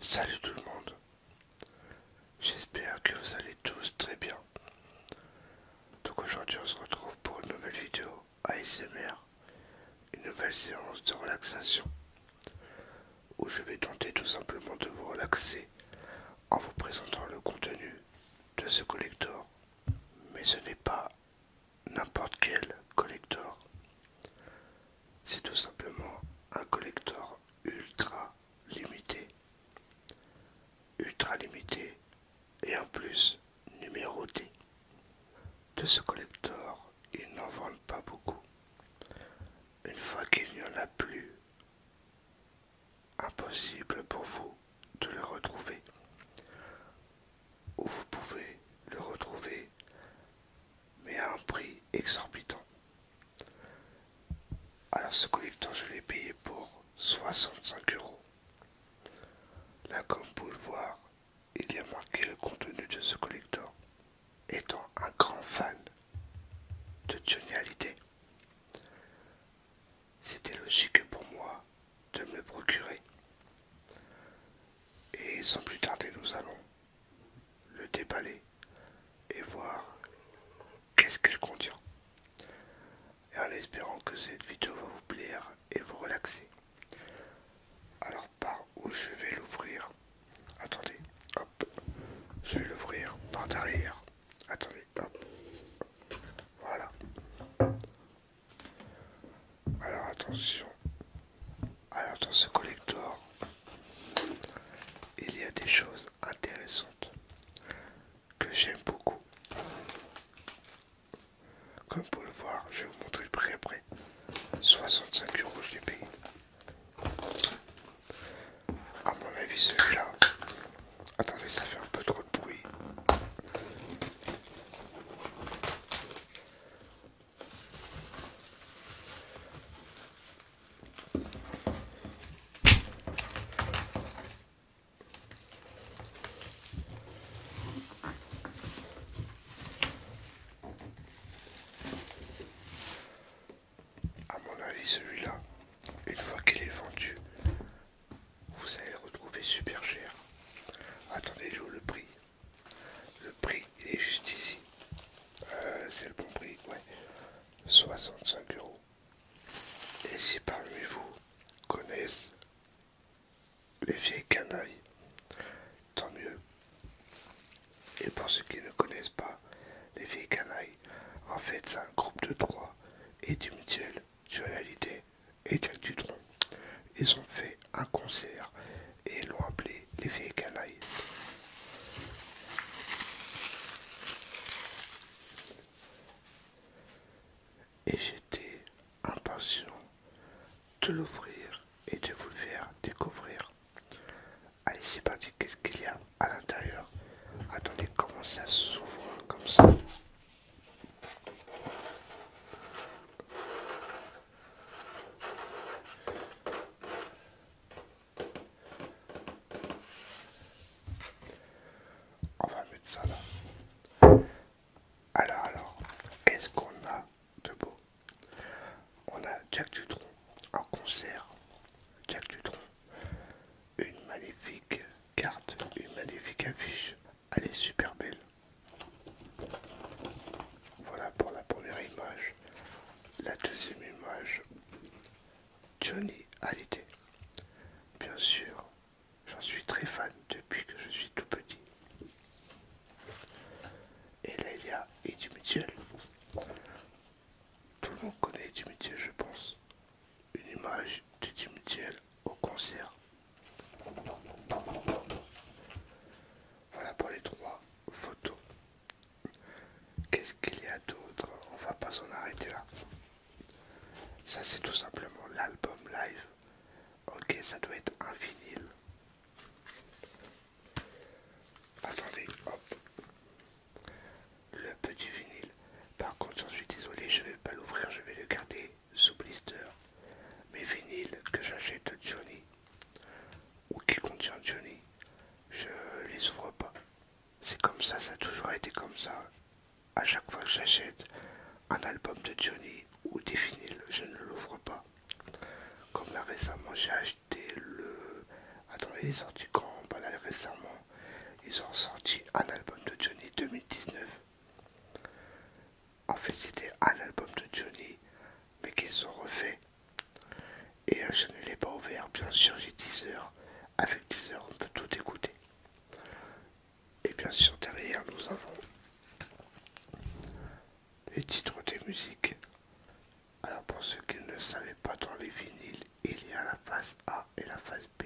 Salut tout le monde, j'espère que vous allez tous très bien. Donc aujourd'hui on se retrouve pour une nouvelle vidéo ASMR, une nouvelle séance de relaxation où je vais tenter tout simplement de vous relaxer en vous présentant le contenu de ce collector, mais ce n'est pas n'importe quel collector. C'est tout simplement un collector ultra limité. Ultra limité et en plus numéroté. De ce collector, ils n'en vendent pas beaucoup. Une fois qu'il n'y en a plus, impossible pour vous de le retrouver. Ou vous pouvez le retrouver, mais à un prix exorbitant. Alors ce collector, je l'ai payé pour 65 euros. Là, comme vous pouvez le voir, il y a marqué le contenu de ce collector. Étant un grand fan de Johnny c'était logique pour moi de me procurer. Et sans plus tarder, nous allons le déballer et voir qu'est-ce qu'elle contient. Et en espérant que cette vidéo va vous plaire et vous relaxer. Alors par où je vais l'ouvrir Attendez, hop, je vais l'ouvrir par derrière. Attendez. Voilà. Alors attention. Alors dans ce collector, il y a des choses intéressantes que j'aime beaucoup. Comme vous le voir, je vais vous montrer le prix après. 65 euros, je l'ai payé. À mon avis, celui-là, Attendez, ça fait un peu trop de bruit. À mon avis, celui-là, une fois qu'il est vendu, vous allez retrouver super cher. Attendez, je le prix. Le prix, est juste ici. Euh, c'est le bon prix, ouais. 65 euros. Et si parmi vous connaissent les vieilles canailles, tant mieux. Et pour ceux qui ne connaissent pas, les vieilles canailles. En fait, c'est un groupe de trois et du mutuel, réalité et du tronc. Ils ont fait un concert et l'ont appelé les vieilles Et j'étais impatient de l'ouvrir et de vous le faire découvrir. Allez, c'est parti. Qu'est-ce qu'il y a à l'intérieur Attendez, comment ça s'ouvre comme ça on va mettre ça là. Alors, alors, qu'est-ce qu'on a de beau On a Jack Dutron en concert. Jack Dutron, une magnifique carte, une magnifique affiche. Elle est super belle. Voilà pour la première image. La deuxième image, Johnny Hallyday. Bien sûr, j'en suis très fan depuis que je suis tout petit. Et là, il y a tout le monde connaît Thiel, je pense. Une image de Thiel au concert. Voilà pour les trois photos. Qu'est-ce qu'il y a d'autre On va pas s'en arrêter là. Ça c'est tout simplement l'album live. Ok, ça doit être un vinyle. Attendez, hop. Le petit vinyle. Par contre, j'en suis désolé, je vais pas l'ouvrir, je vais le garder sous blister. Mais vinyle que j'achète de Johnny ou qui contient Johnny, je les ouvre pas. C'est comme ça, ça a toujours été comme ça. À chaque fois que j'achète un album de Johnny ou des vinyles, je ne l'ouvre pas. Comme là récemment, j'ai acheté le. Attendez, il est sorti quand Pas récemment. Ils ont sorti un album de Johnny 2019. En fait, c'était un album de Johnny, mais qu'ils ont refait. Et euh, je ne l'ai pas ouvert, bien sûr, j'ai 10 heures. Avec 10 heures, on peut tout écouter. Et bien sûr, derrière, nous avons les titres des musiques. Alors pour ceux qui ne savaient pas dans les vinyles, il y a la face A et la face B.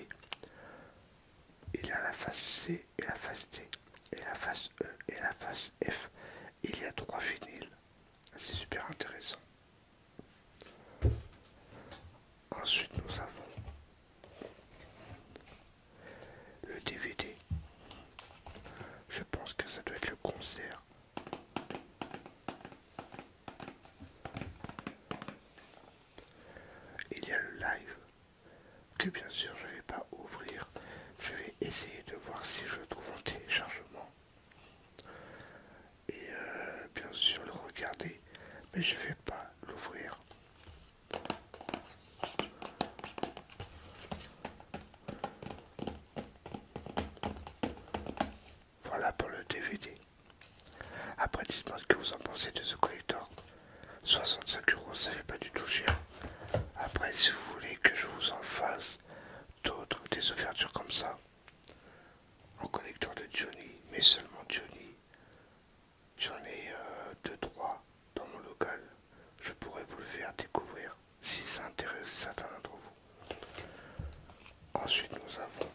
Il y a la face C et la face D. Et la face E et la face F. Il y a trois vinyles. C'est super intéressant. Ensuite nous avons le DVD. Je pense que ça doit être le concert. Il y a le live que bien sûr je ne vais pas ouvrir. Je vais essayer de voir si je trouve un téléchargement. Et euh, bien sûr le regarder. Mais je ne vais pas l'ouvrir. Voilà pour le DVD. Après, dites-moi ce que vous en pensez de ce collector. 65 euros, ça fait pas du tout cher. Après, si vous voulez que je vous en fasse d'autres, des ouvertures comme ça, en collecteur de Johnny, mais seulement Johnny. J'en ai 2-3 euh, dans mon local je pourrais vous le faire découvrir si ça intéresse certains d'entre vous. Ensuite, nous avons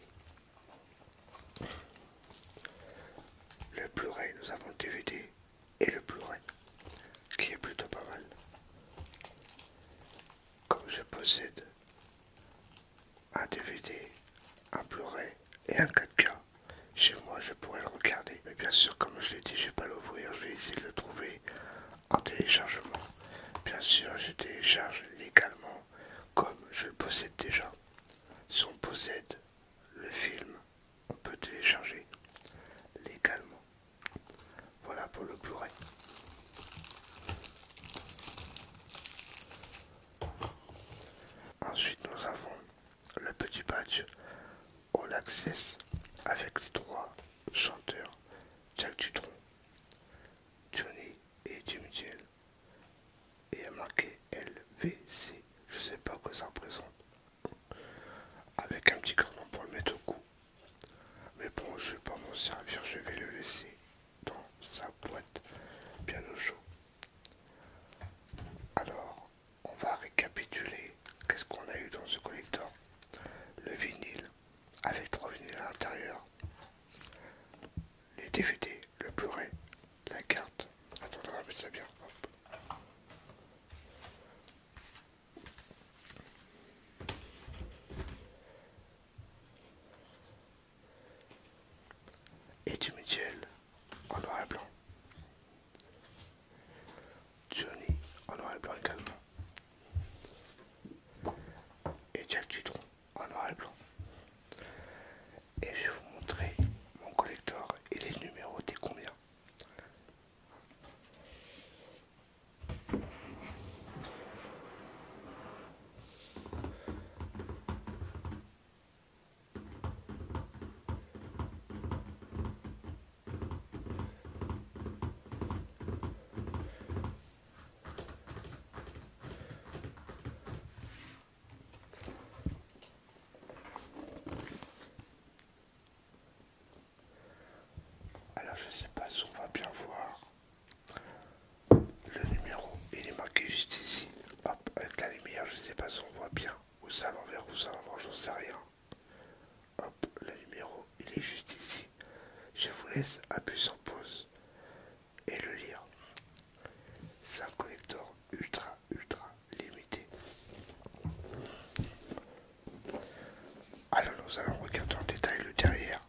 le blu nous avons le DVD et le blu qui est plutôt pas mal. Comme je possède un DVD, un blu et un 4K, chez moi, je pourrais le regarder. Mais bien sûr, comme je l'ai dit, je vais pas l'ouvrir, je vais essayer de le trouver en téléchargement. Bien sûr, je télécharge légalement, comme je le possède déjà. Si on possède le film, on peut télécharger légalement. Voilà pour le Blu-ray. Ensuite, nous avons le petit badge, on Access avec les trois chanteurs Jack Dutron, Johnny et Jim et a marqué LVC, je sais pas quoi ça représente, avec un petit cordon pour le mettre au cou. Mais bon, je vais pas m'en servir, je vais le laisser dans sa boîte bien au chaud. Alors, on va récapituler qu'est-ce qu'on a eu dans ce collecteur Le vinyle, avec trois vinyles à l'intérieur. Les DVD, le blu la carte. Attends, on va mettre ça bien. Et du mutuel en noir et blanc. Johnny en noir et blanc également. Et Jack Titron en noir et blanc. Et je vais vous montrer mon collector et les numéros des combien. Alors je sais pas si on va bien voir le numéro, il est marqué juste ici. Hop, avec la lumière, je sais pas si on voit bien. Ou ça à l'envers, ou ça à l'envers, j'en sais rien. Hop, le numéro, il est juste ici. Je vous laisse appuyer sur pause et le lire. C'est un collector ultra, ultra limité. Alors nous allons regarder en détail le derrière.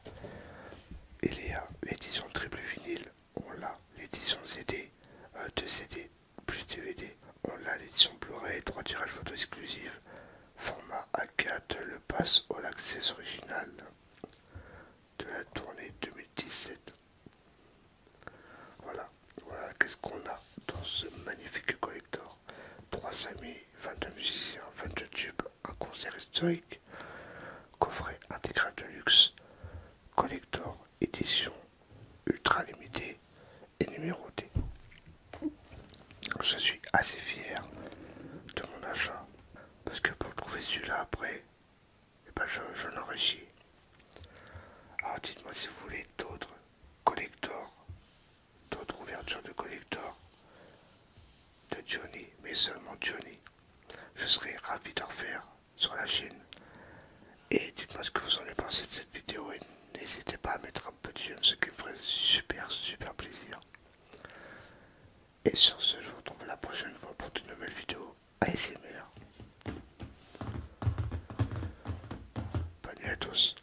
et les euh, éditions triple vinyle on l'a. L'édition CD, 2 CD plus DVD, on l'a. L'édition Blu-ray, 3 tirages photo exclusifs, format A4, le pass au Access original de la tournée 2017. Voilà, voilà qu'est-ce qu'on a dans ce magnifique collector. 3 amis, 22 musiciens, 22 tubes, un concert historique, coffret intégral de luxe, collector édition ultra limitée et numérotée. Je suis assez fier de mon achat parce que pour trouver celui-là après, et eh ben, je, n'en réussis. Alors dites-moi si vous voulez d'autres collectors, d'autres ouvertures de collector de Johnny, mais seulement Johnny. Je serai ravi d'en refaire sur la chaîne. Et dites-moi ce que vous en avez pensé de cette vidéo et n'hésitez pas à mettre un petit j'aime, ce qui me ferait super super plaisir. Et sur ce, je vous retrouve la prochaine fois pour de nouvelles vidéos ASMR. Bonne nuit à tous.